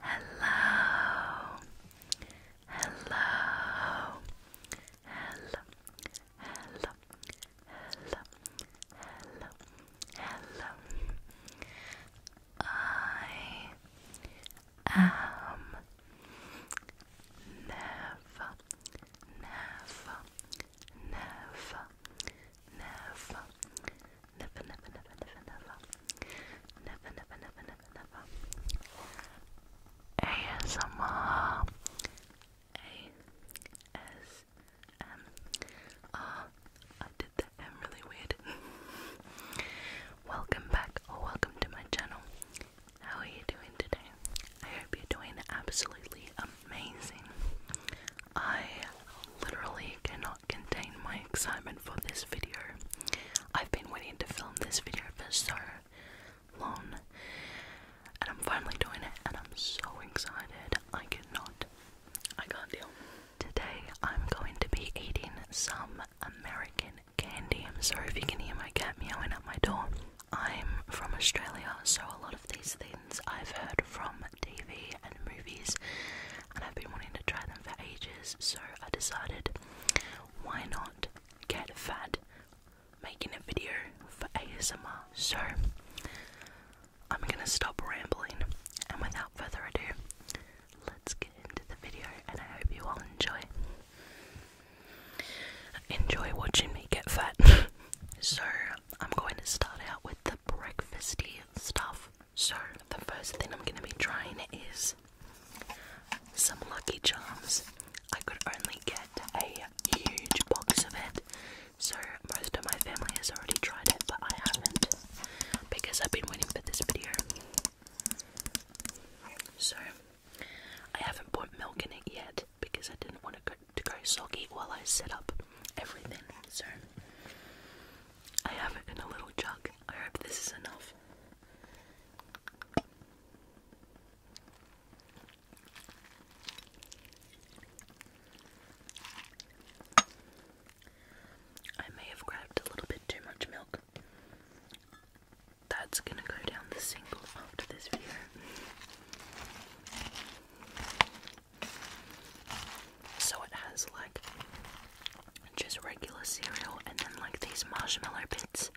Hello, hello, hello, hello, hello, hello, I am never, never, never, Never, never, never, never, never, never, never, never, never, never, never. I did that M really weird. welcome back, or welcome to my channel. How are you doing today? I hope you're doing absolutely amazing. I literally cannot contain my excitement for this video. I've been waiting to film this video for so long, and I'm finally doing it, and I'm so excited. I cannot, I can't deal. Today, I'm going to be eating some American candy. I'm sorry if you can hear my cat meowing at my door. I'm from Australia, so a lot of these things I've heard from TV and movies and I've been wanting to try them for ages, so I decided why not get fat making a video for ASMR. So I'm gonna stop rambling, and without further ado, let's get into the video, and I hope you all enjoy. Enjoy watching me get fat. so I'm going to start out with the breakfasty stuff. So, the first thing I'm going to be trying is some Lucky Charms. I could only get a huge box of it, so most of my family has already tried it, but I haven't because I've been waiting for this video. So, I haven't put milk in it yet because I didn't want it to go soggy while I set up everything. So I have it in a little jug. I hope this is enough. I may have grabbed a little bit too much milk. That's gonna go down the single after this video. So it has like just regular cereal and then like these marshmallow bits.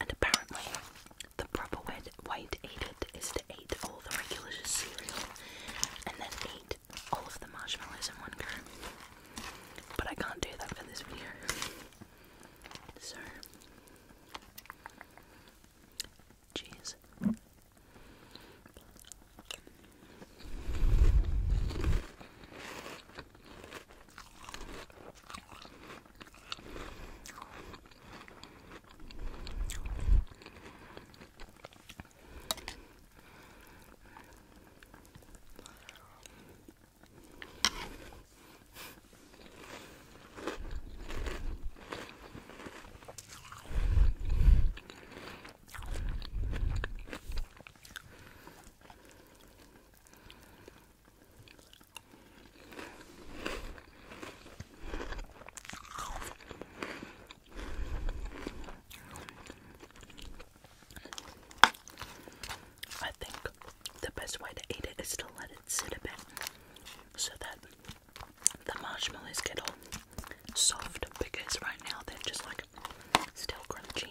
And apparently, the proper way to, eat it is to eat all the regular cereal and then eat all of the marshmallows in one go. But I can't do that for this video. So, Jeez. I think the best way to eat it is to let it sit a bit so that the marshmallows get all soft because right now they're just like still crunchy.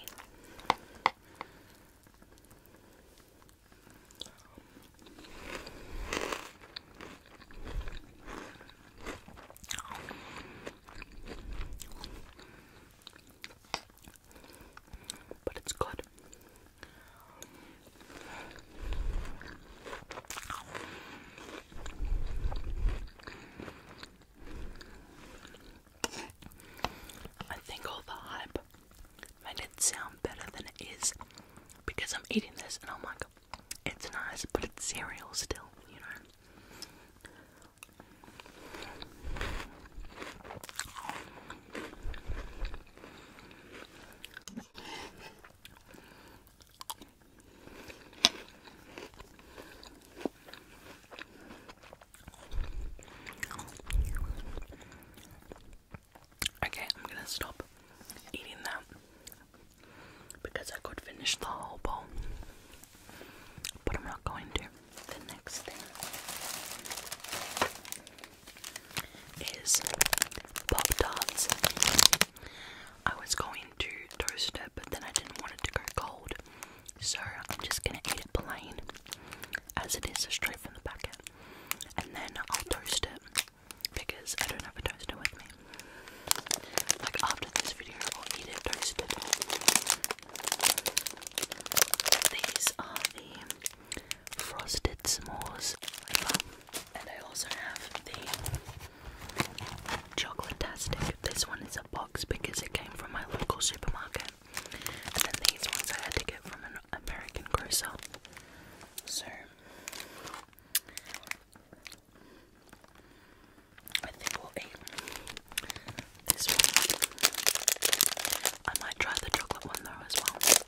But it's good. I think all the hype made it sound better than it is because I'm eating this and I'm like, it's nice, but it's cereal still, you know. Okay, I'm gonna stop eating that because I could finish the whole bowl, but I'm not going to. The next thing is Pop Tarts. I was going to toast it, but then I didn't want it to go cold, so I'm just gonna eat it plain as it is, straight from the packet, and then I'll toast it because I don't have a toaster with me. Like after this video, I'll eat it toasted. These are the frosted s'mores. And I also have the chocolate tastic. This one is a box because it came from my local supermarket. And then these ones I had to get from an American grocer. So I think we'll eat this one. I might try the chocolate one though as well.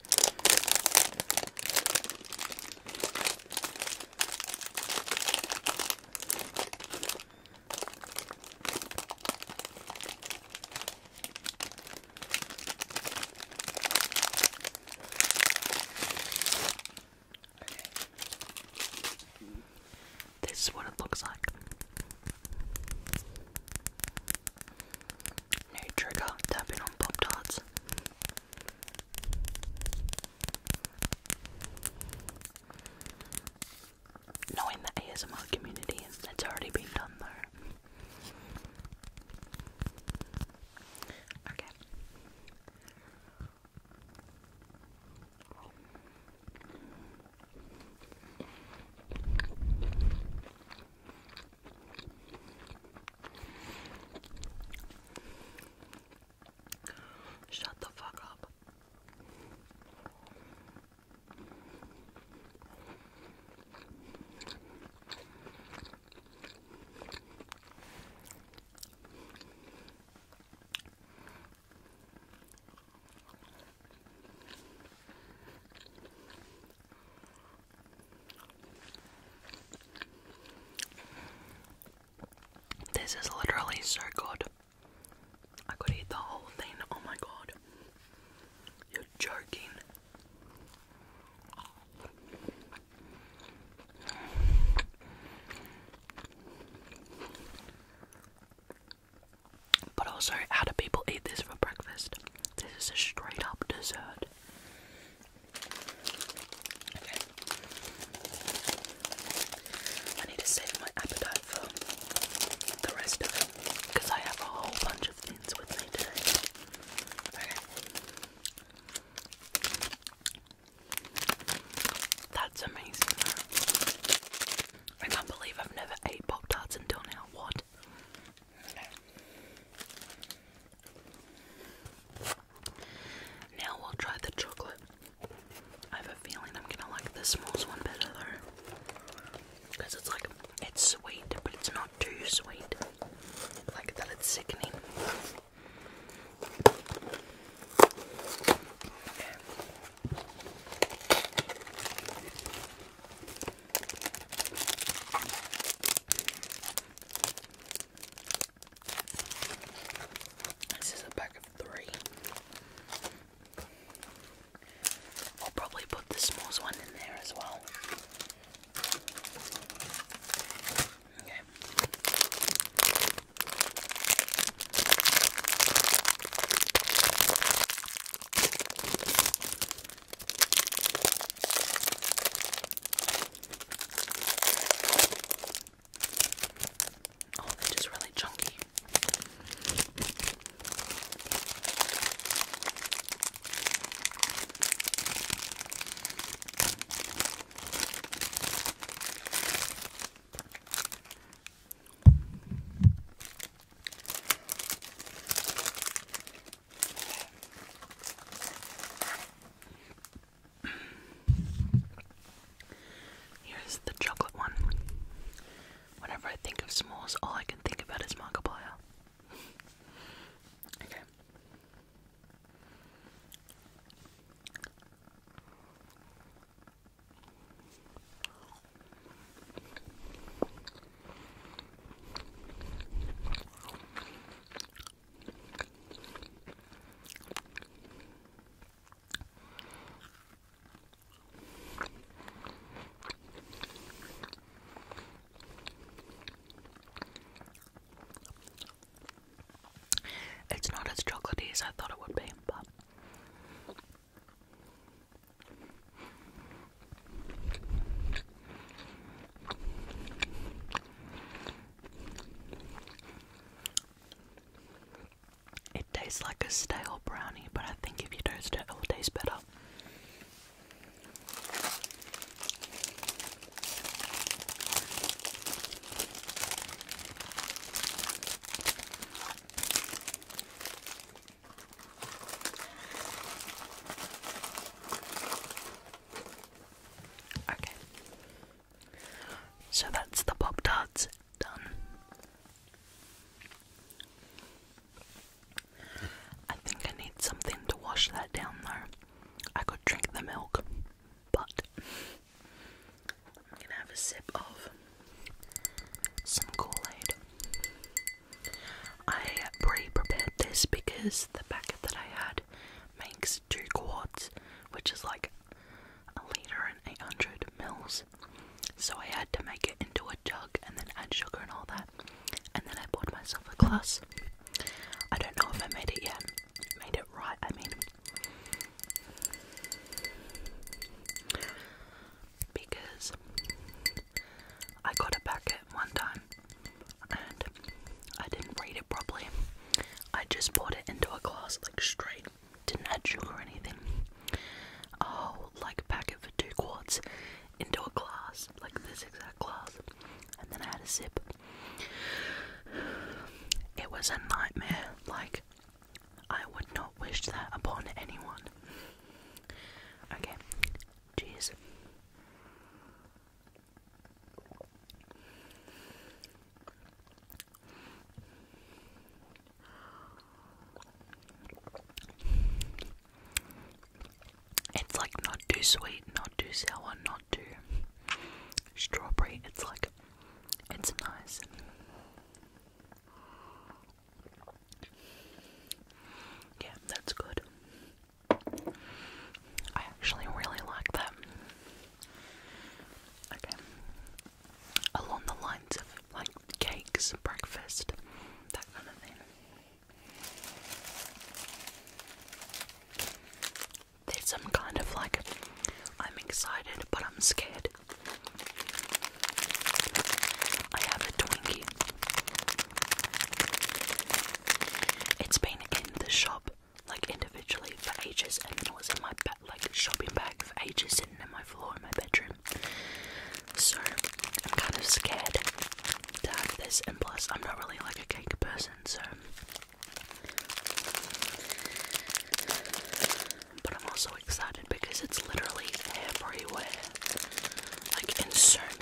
This is what it looks like. New trigger tapping on Pop Tarts. Knowing the ASMR community, it's already been done though. Okay. Shut the fuck up. This is literally so good. I could eat the whole thing. Oh my god. You're joking. But also, how do people eat this for breakfast? This is a straight up dessert. I need to save my appetite for the rest of it because I have a whole bunch of things with me today. Okay. That's amazing I can't believe I've never ate Pop Tarts until now. What? Now we'll try the chocolate. I have a feeling I'm gonna like this s'mores one better though. it's like, it's sweet, but it's not too sweet. Like that it's sickening. This is a pack of three. I'll probably put the s'mores one in there as well. Okay. Oh, they're just really chunky. Here's the chocolate one. Whenever I think of s'mores, all I can think about is Markiplier. okay. It's not as chocolatey as I thought it would be, but it tastes like a stale brownie, but I think if you toast it, it will taste better. Okay. So that's the Bob Tarts done. I think I need something to wash that down though. I could drink the milk, but I'm gonna have a sip of some Kool I pre-prepared this because the packet that I had makes two quarts, which is like a liter and 800 mils. So I had to make it into a jug and then add sugar and all that. And then I bought myself a glass. I don't know if I made it yet. Made it right, I mean. Because I got a packet one time and I didn't read it properly. I just poured it into a glass, like straight, didn't add sugar or anything. Oh, like a packet for two quarts into a glass, like this exact glass, and then I had a sip. It was a nightmare, like, I would not wish that upon anyone. Okay, cheers. It's like not too sweet, not too sour, not too strawberry. It's like it's nice. Yeah, that's good. I actually really like that. Okay. Along the lines of like cakes, breakfast, that kind of thing. There's some kind of like, I'm excited but I'm scared. I have a Twinkie. It's been in the shop like individually for ages, and it was in my like shopping bag for ages, sitting in my floor in my bedroom. So I'm kind of scared to have this, and plus I'm not really like a cake person, so. But I'm also excited because it's literally everywhere, like in so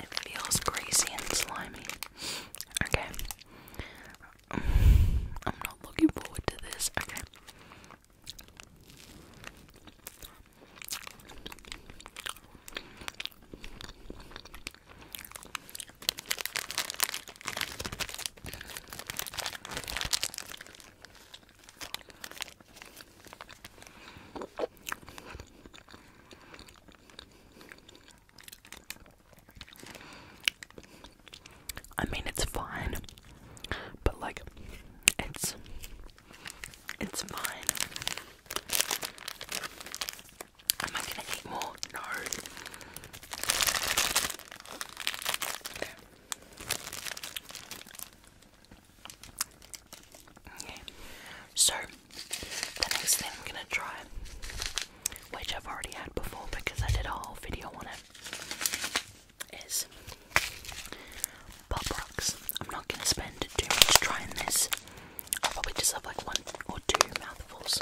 It feels greasy and slimy. Okay. I'm not looking forward to this. Okay. I mean, it's fine, but like, it's it's fine. Am I gonna eat more? No. Okay. So the next thing I'm gonna try, which I've already had before because I did a whole video on it, is Pop Rocks. I'm not gonna spend too much trying this. I'll probably just have like one or two mouthfuls.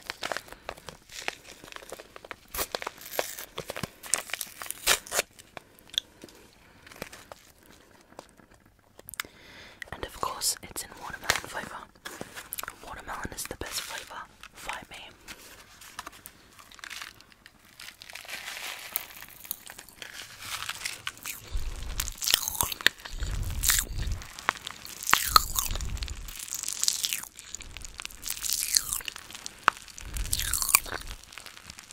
And of course, it's in watermelon flavour. Watermelon is the best flavour by me.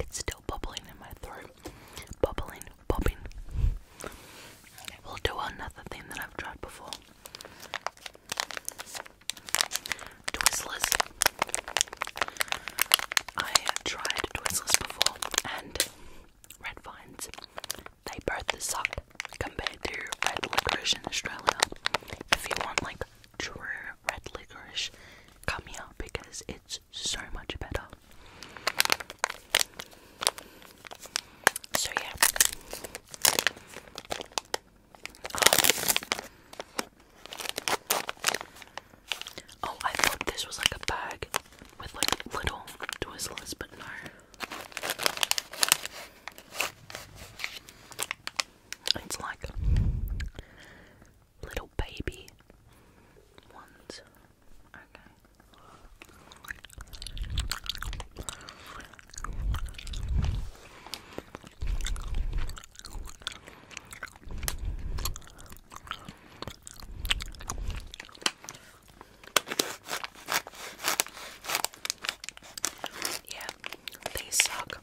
It's still bubbling in my throat. Bubbling, bobbing. We'll do another thing that I've tried before. Twizzlers. I tried Twizzlers before and Red Vines. They both suck compared to red licorice in Australia. If you want like true red licorice, come here because it's so much better. So yeah. Oh. I thought this was like a bag with like little twizzlers, but no. It's like little baby ones. Okay. Yeah, they suck.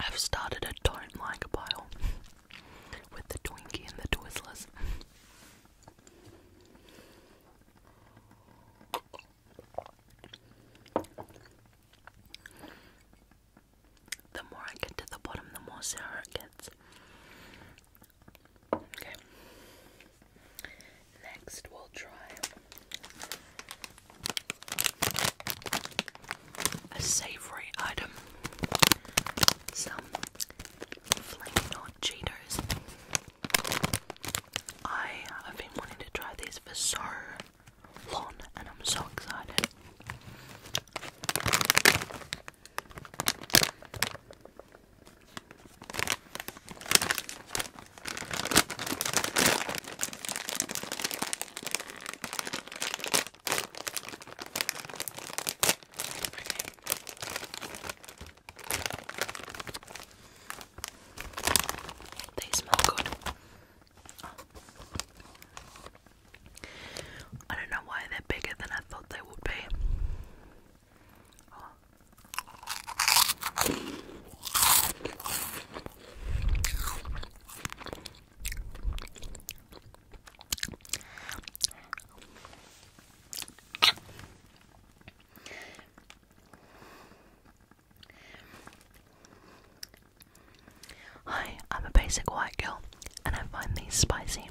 I've started a don't like pile with the Twinkie and the Twizzlers. The more I get to the bottom, the more sour it gets. Okay. Next, we'll try a savory item. Some flaming Cheetos. I have been wanting to try these for so long, and I'm so excited. They smell good. Oh. I don't know why they're bigger than I thought they would be. Hi, I'm a basic white girl and I find these spicy.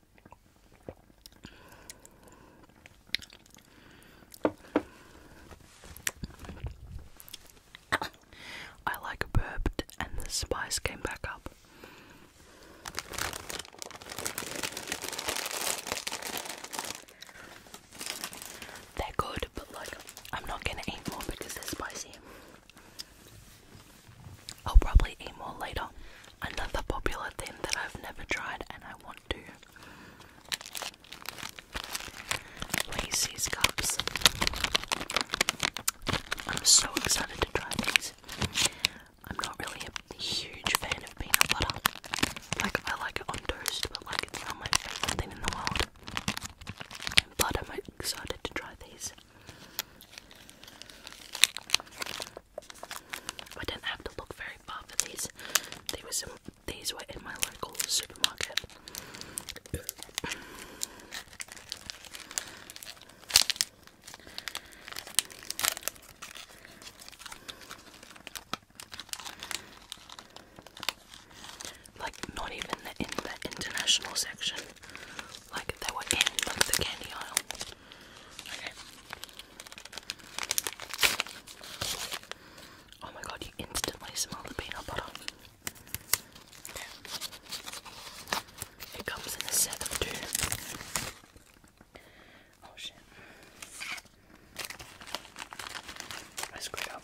I like burped and the spice came back up. They're good, but like I'm not gonna eat more because they're spicy. I'll oh, probably eat more later. Another popular thing that I've never tried and I want to. Reese's cups. I'm so excited to try these. I'm not really a huge fan of peanut butter. Like I like it on toast, but like it's not my favorite thing in the world. But I'm excited to try these. I didn't have to look very far for these. They were some, these were in my local supermarket. Like not even in the international section. Like they were in like the candy aisle. Oh my god, you instantly smell the peanut butter. It comes in a set of two. Oh shit. I screwed up.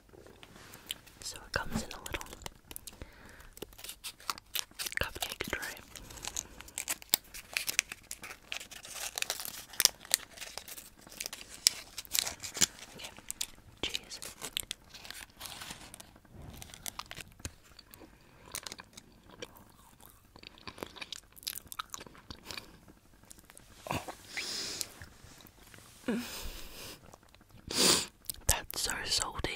So it comes in a little cupcake tray. Okay, cheese. That's so salty.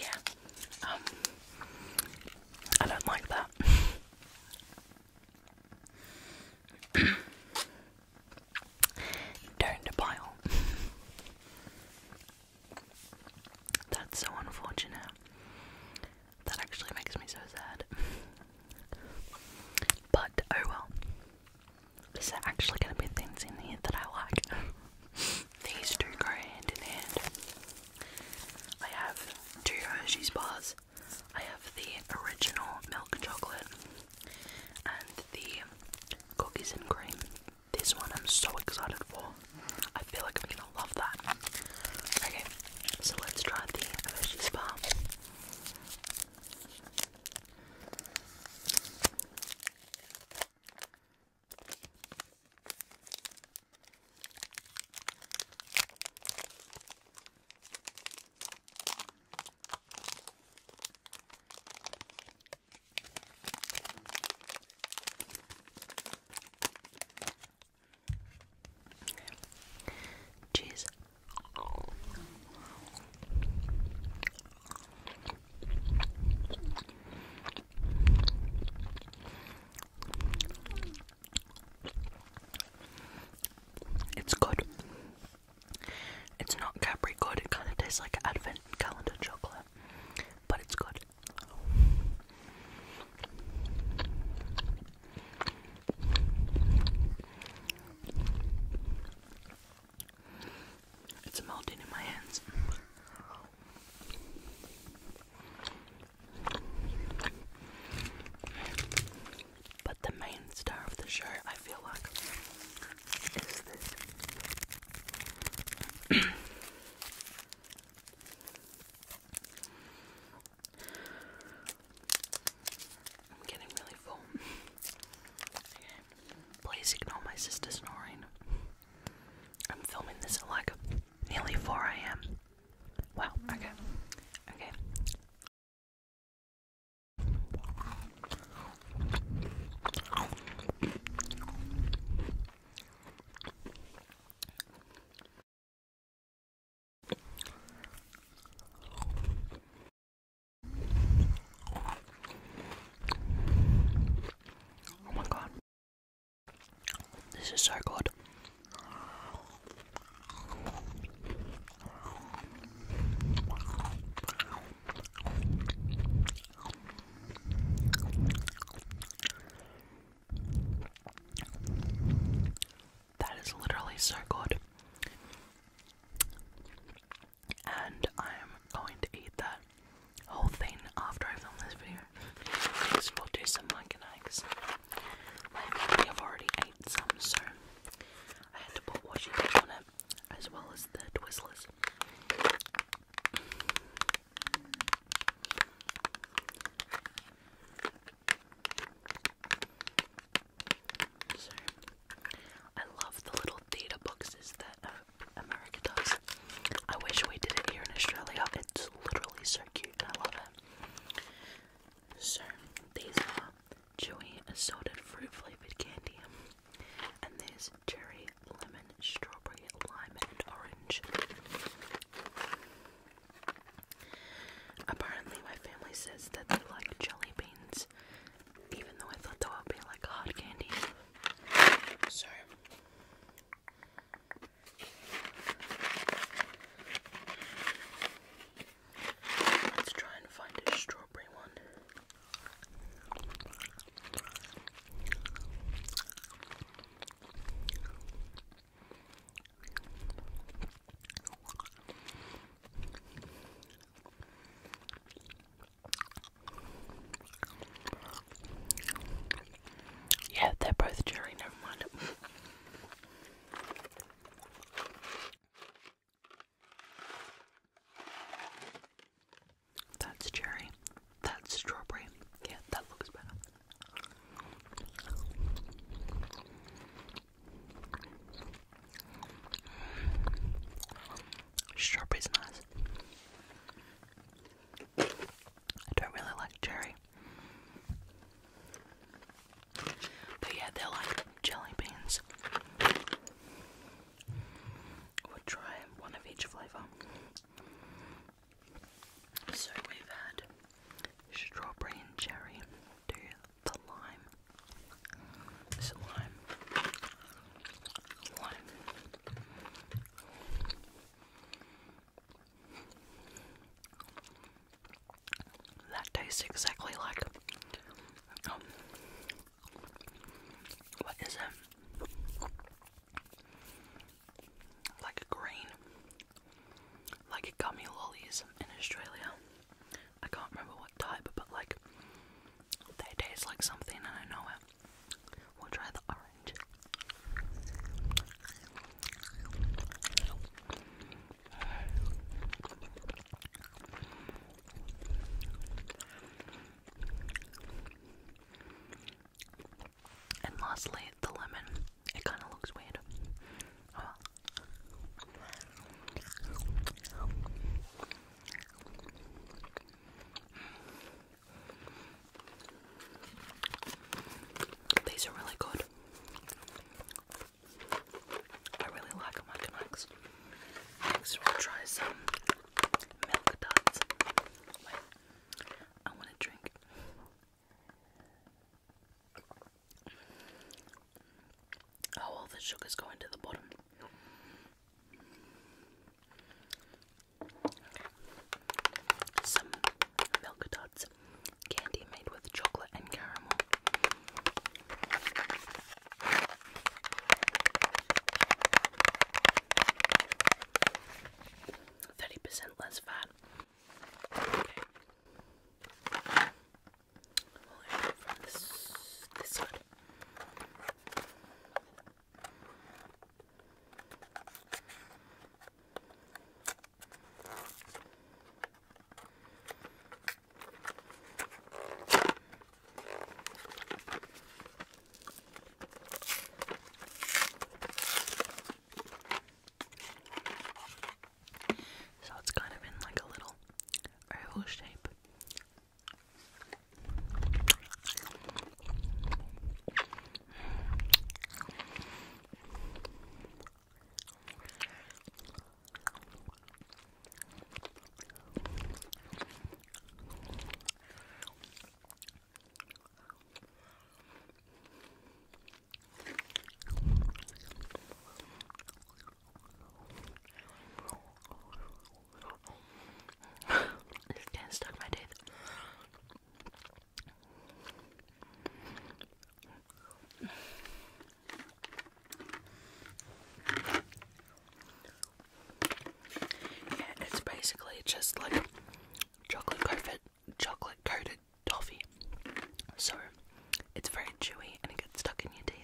Yeah. Um I don't like that. Down the pile. That's so unfortunate. That actually makes me so sad. But oh well. There's actually going to be things in here that I like? These two go hand in hand. I have two Hershey's bars. I have the original milk chocolate and the cookies and cream. This one I'm so excited for. I feel like I'm gonna love that. Okay, so let's try the Hershey's bar. Cheese. It's good. It's not Capri good, it kind of tastes like advent calendar chocolate, but it's good. It's melting in my hands. But the main star of the show, I feel like, is this. I'm getting really full. Please ignore my sister snoring. I'm filming this at like nearly 4 a.m. Wow, okay. Okay. Oh my god. This is so good. That is literally so good. And I am going to eat that whole thing after I film this video. Because we'll do some like and Luckily, I've already ate some, so I had to put washi tape on it as well as the Twizzlers. I love the little theatre boxes that uh, America does. I wish we did it here in Australia. It's literally so cute so, these are chewy assorted fruit flavored candy, and there's cherry, lemon, strawberry, lime, and orange. Apparently, my family says that they like jelly beans, even though I thought they would be like hard candy. So, Let's try and find a strawberry one. Yeah, they're both cherry, never mind. That's cherry. That's strawberry. Yeah, that looks better. Strawberry's nice. I don't really like cherry. But yeah, they're like jelly beans. We'll try one of each flavour. So we've had strawberry and cherry the lime. This lime. Lime. That tastes exactly like. Um, what is it? Like a green, like gummy lollies in Australia. I can't remember what type, but like they taste like something, and I know it. We'll try the orange. And lastly, the lemon. It kind of looks weird. Oh these are really good. I really like Mackinacs. Next, we'll try some milk duds. I want to drink. Oh, all the sugar's going to the bottom. Some milk duds candy made with chocolate and caramel. Thirty percent less fat. Okay. this this so it's kind of in like a little oval shape. It's getting stuck in my teeth. Yeah, it's basically just like chocolate coated, chocolate coated toffee. So it's very chewy and it gets stuck in your teeth.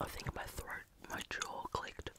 I think my throat, my jaw clicked.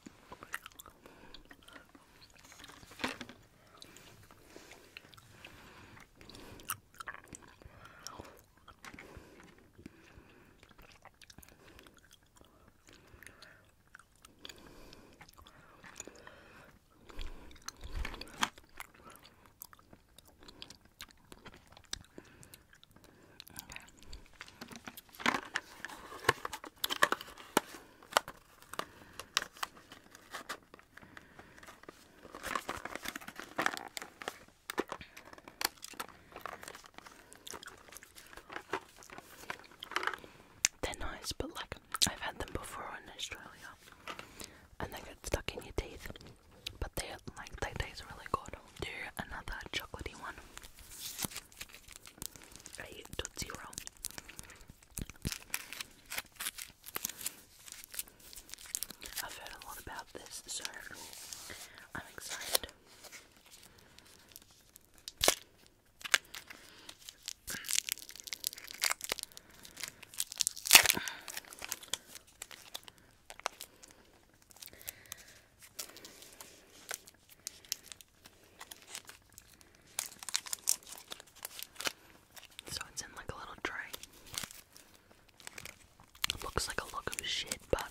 They're nice, but like I've had them before in Australia and they get stuck in your teeth. But they like they taste really good. Do another chocolatey one. A I've heard a lot about this, so I'm excited. So it's in like a little tray. looks like a look of shit, but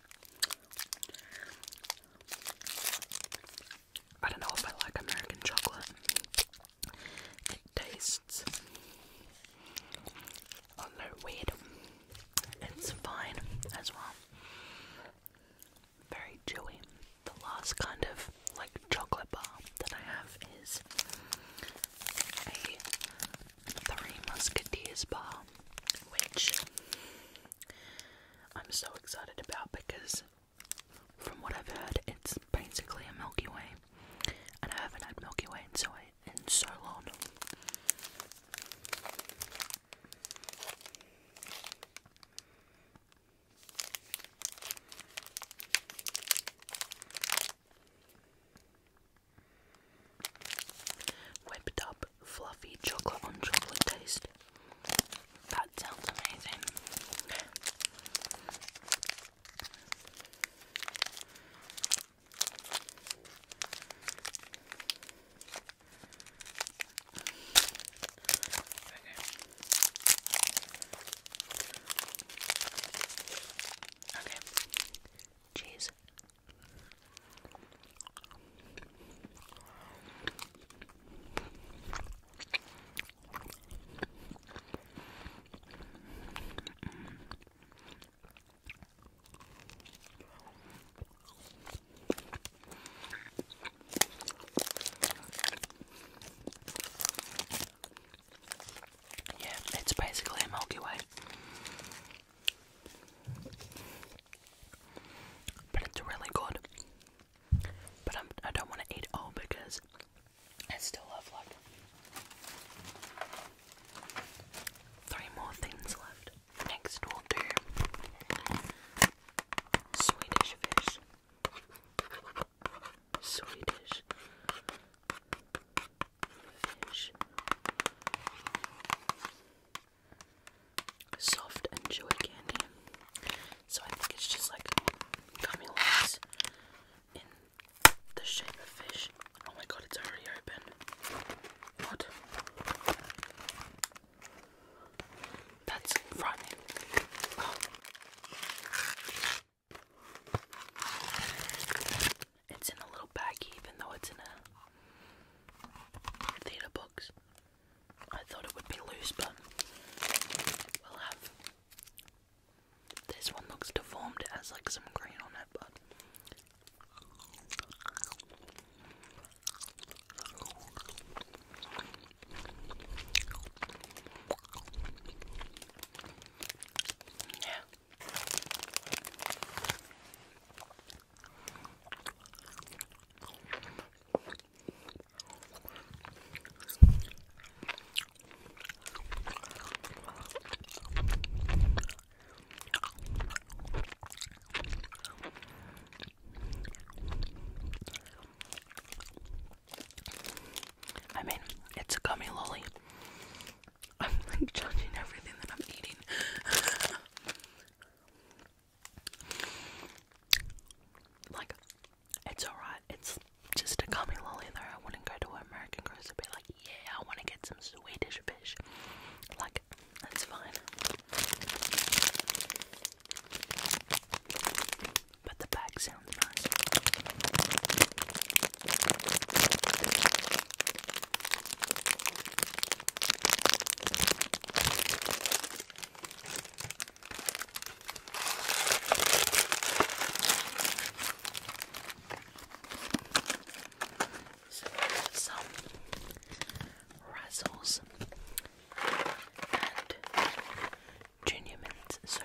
I don't know if I like American chocolate. It tastes a little weird. It's fine as well. Very chewy. The last kind of like chocolate bar that I have is a Three Musketeers bar, which I'm so excited about because from what I've heard, it's basically a Milky Way, and I haven't had Milky Way in so in so long. Whipped up fluffy chocolate on chocolate taste. That sounds amazing. Okay. Cheese yeah, it's basically a Milky Way. But it's really good. But I'm, I do not want to eat all because I still have like three more things left. Next, we'll do Swedish fish. Swedish Soft and chewy candy. So I think it's just like gummy worms in the shape of fish. Oh my god, it's already open. What? That's frightening. It's in a little bag, even though it's in a theater box. I thought it would be loose, but we'll have. This one looks deformed. It has like some green on it, but. Yeah. I mean, it's a gummy lolly. I'm like judging everything that I'm eating. like, it's alright. It's just a gummy lolly there. I wouldn't go to American grocery and be like, yeah, I want to get some Swedish fish. Like, that's fine. But the bag sounds nice. So we some razzles and junior mints. So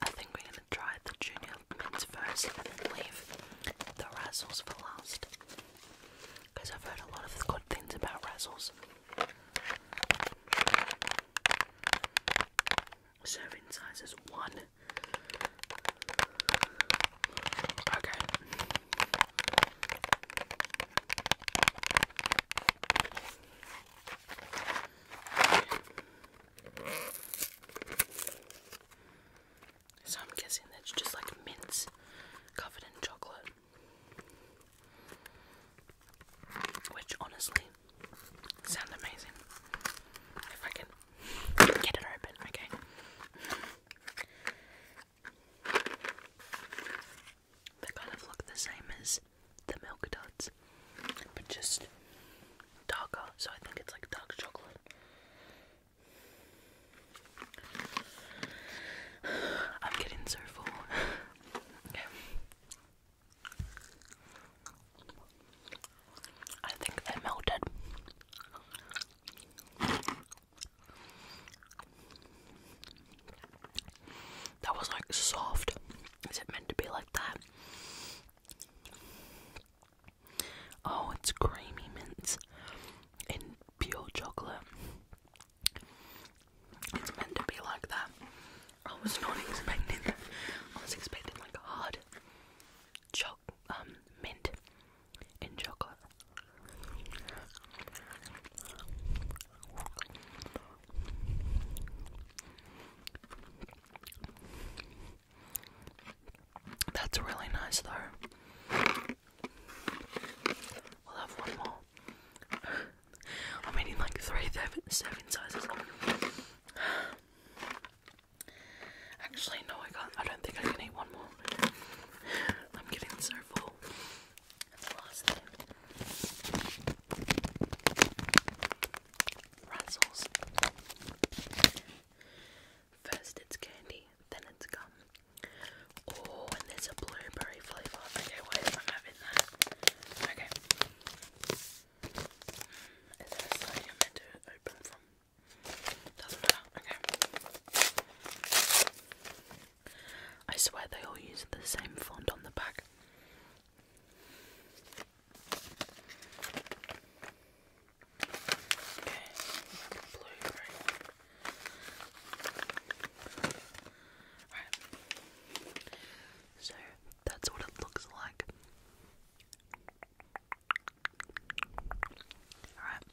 I think we're gonna try the junior mints first and then leave the razzles for last. Because I've heard a lot of good things about razzles. Serving size one. Okay. So I'm guessing that's just like mints covered in chocolate. Which honestly sound amazing. If I can get it open, okay. They kind of look the same as the milk duds, but just darker, so I think it's like dark chocolate. I'm getting so full. I think they melted. That was like soft. Is it meant to be like that? Oh, it's creamy mints in pure chocolate. It's meant to be like that. I was not expecting that. I was expecting like hard choc um mint in chocolate. That's really nice though. We'll have one more. I'm eating like three serving sizes. Actually, no, I can't. I don't think I can eat one more. I'm getting so full. That's First it's candy, then it's gum. Oh, and there's a blueberry flavour. Okay, why am I having that? Okay. Mm, is there a you're meant to open from? Doesn't matter. Okay. I swear they all use the same font on the back. So that's what it looks like. Alright.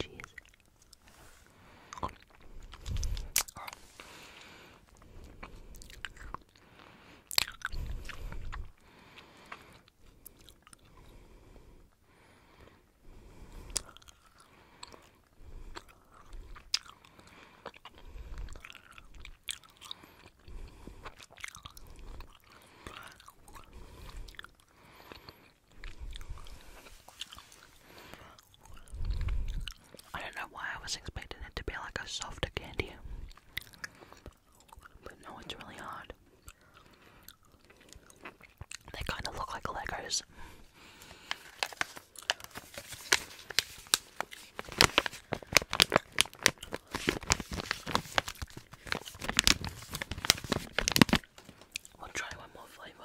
Cheers. I don't know why I was expecting it to be like a softer candy. But no, it's really hard. They kind of look like Legos. We'll try one more flavor.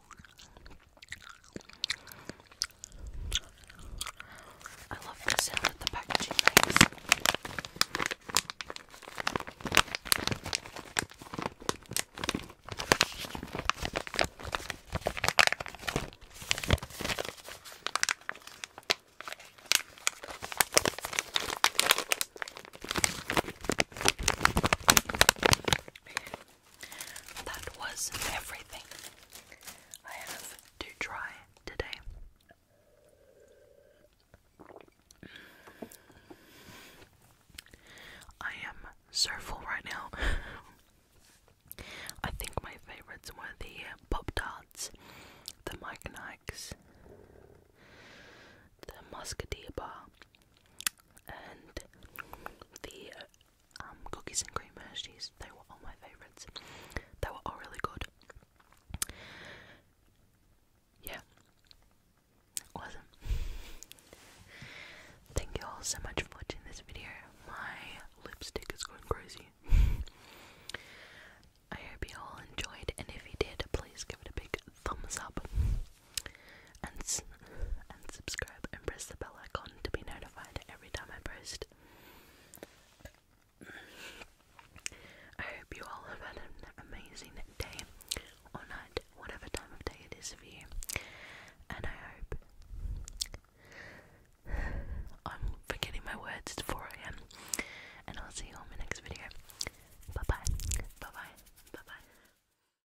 I love the sound that the packaging makes that was everything I have to try today. I am so full right now. I think my favourites were the Pop Tarts, the Mike Nikes, the Musketeer Bar, and the uh, um, cookies and cream Hershey's. They were all my favourites. They were all really good. Yeah, awesome. Thank you all so much for watching this video. My lipstick is going crazy. I hope you all enjoyed, and if you did, please give it a big thumbs up and, and subscribe and press the bell icon to be notified every time I post. I hope you all have had an amazing day or night, whatever time of day it is for you. And I hope I'm forgetting my words, it's 4 am. And I'll see you on my next video. Bye bye. Bye bye. Bye bye.